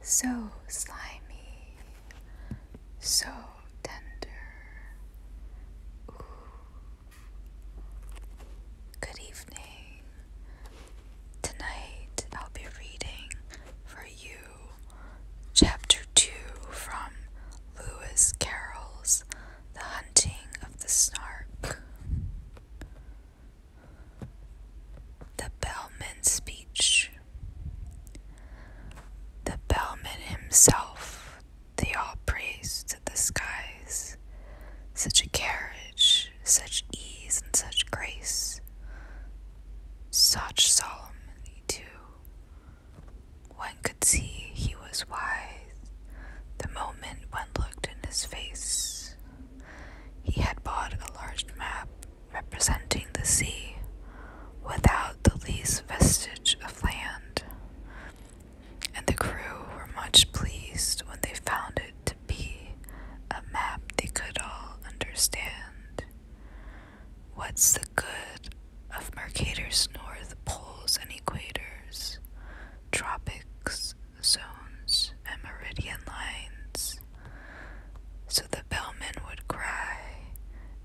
So slimy, so tender. Good evening. Tonight I'll be reading for you chapter 2 from Lewis Carroll's The Hunting of the Snark. The bellman's speech. The bellman himself, they all praised the skies. Such a carriage, such ease, and such grace. Such solemnity, too. One could see he was wise. The moment when looked in his face, he had bought a large map representing the sea without the least vestige of land, and the crew were much pleased when they found it to be a map they could all understand. What's the good of Mercator's north poles and equators, tropics, zones and meridian lines. So the bellman would cry,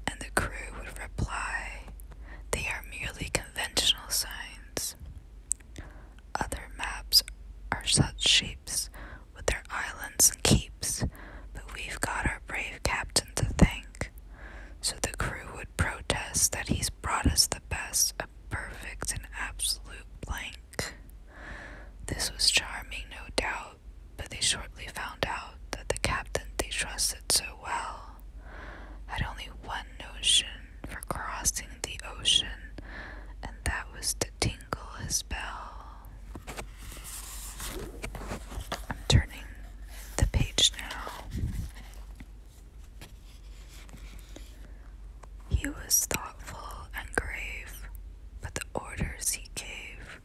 and the crew would reply, They are merely conventional signs. Other maps are such shapes with their islands and keeps, but we've got our brave captain to thank. So the crew would protest that he's brought us the best perfect and absolute blank. This was charming, no doubt, but they shortly found out that the captain they trusted so well had only one notion for crossing the ocean, and that was to tingle his bell. I'm turning the page now. He was thoughtful and grave, but the orders he gave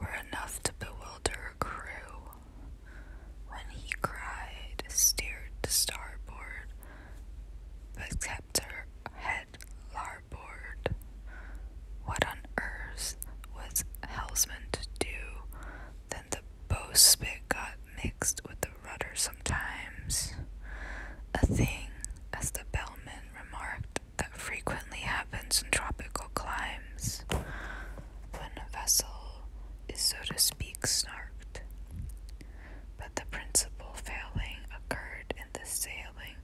were enough to bewilder a crew. When he cried, steered to starboard, but kept her head larboard. What on earth was helmsman to do than the Bow spit got mixed with the rudder sometimes. A thing, as the bellman remarked, that frequently happens in tropical climes when a vessel is, so to speak, snarked. But the principal failing occurred in the sailing,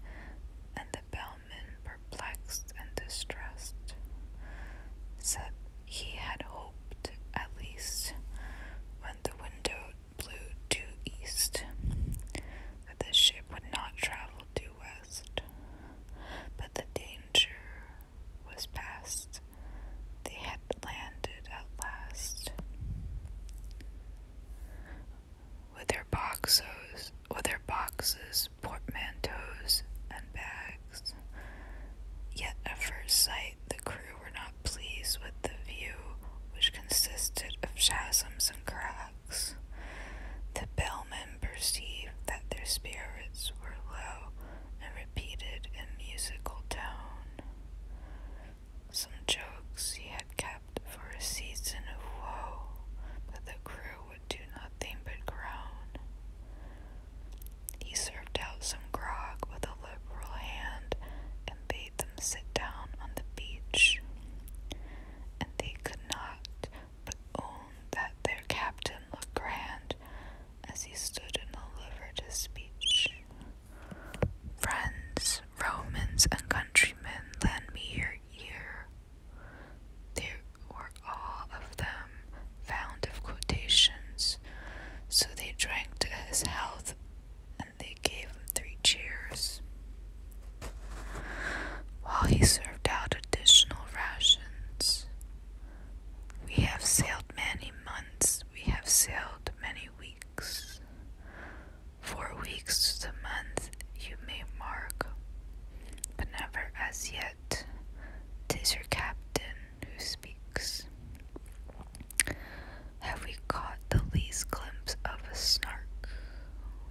and the bellman, perplexed and distressed, said he had hoped, at least, when the wind blew due east, but the ship would not travel due west. But the danger was past. They had landed at last. With their boxes, with their boxes, portmanteaus, and bags. Yet at first sight, the crew were not pleased with the view, which consisted of chasms and cracks. The bellmen perceived that their spirits were low and repeated in musical tone some jokes he had kept for a season of woe, but the crew would do nothing but groan. He served out some grog with a liberal hand and bade them sit down on the beach. And they could not but own that their captain looked grand as he stood and delivered his speech. Friends, Romans, and countrymen, lend me your ear. There were all of them fond of quotations, so they drank to his health and they gave him three cheers. While he served out additional rations, we have sailed many months, we have sailed many weeks. Four weeks to the month you may mark, but never as yet. Tis your captain who speaks. Have we caught the least glimpse of a snark?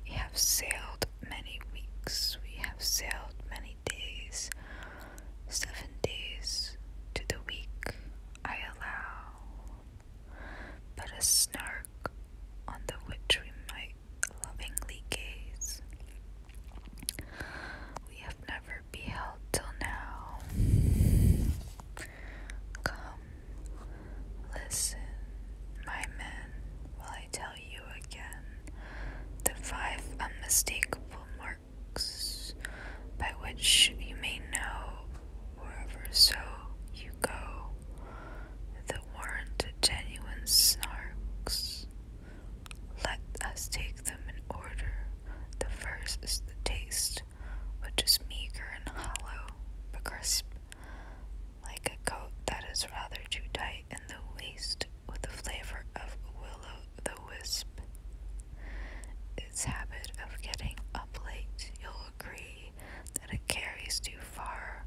We have sailed many weeks, we have sailed many days, seven days to the week I allow. But a snark on the which we might lovingly gaze. We have never beheld till now. Come, listen, my men, while I tell you again the five unmistakable marks by which you may know wherever so you go that warrant of genuine snarks. Let us take them in order. The first is the taste, which is meager and hollow but crisp, like a coat that is rather too tight in the waist, with the flavor of willow the wisp. Its habit of getting up late, you'll agree that it carries too far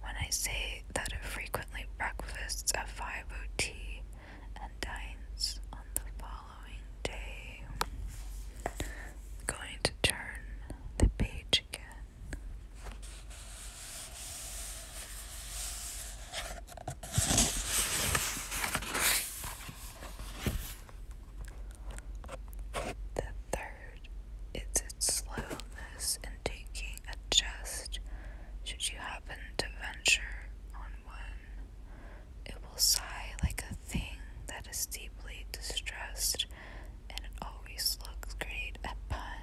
when I say that it frequently breakfasts at 5 tea and dines on the following day. going to turn the page again. The third is its slowness in taking a jest, should you happen to venture on one. It will sigh like a thing that is deeply distressed, and it always looks great at upon.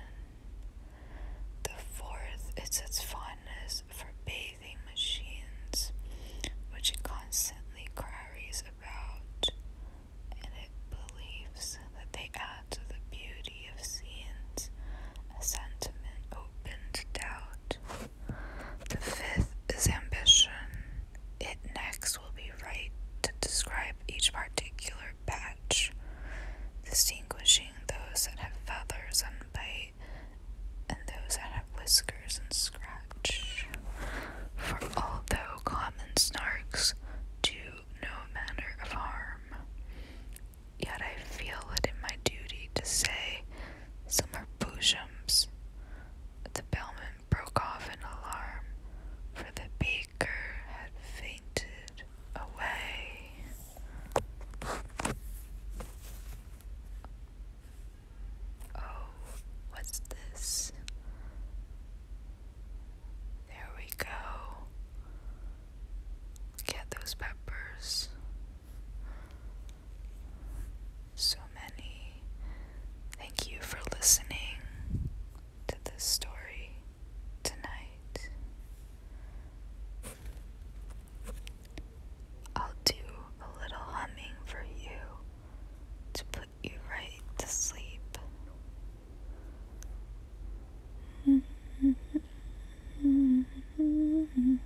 The fourth is its fondness for bathing machines, which it constantly carries about, and it believes that they add to the beauty of scenes a sentiment open to doubt. The fifth is ambition. It next will be right to describe each particular patch, distinguishing those that have feathers and bite and those that have whiskers and scratch. For although common snarks do no manner of harm, yet I feel it in my duty to say some are boojums the bellman broke off an alarm, for the beaker had fainted away. Oh, what's this? There we go. Get those peppers so many. Thank you for listening to this story tonight. I'll do a little humming for you to put you right to sleep.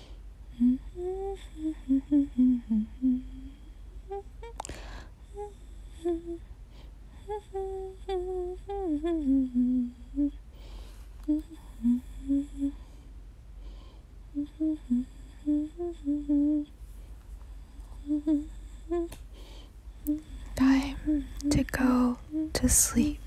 Time to go to sleep.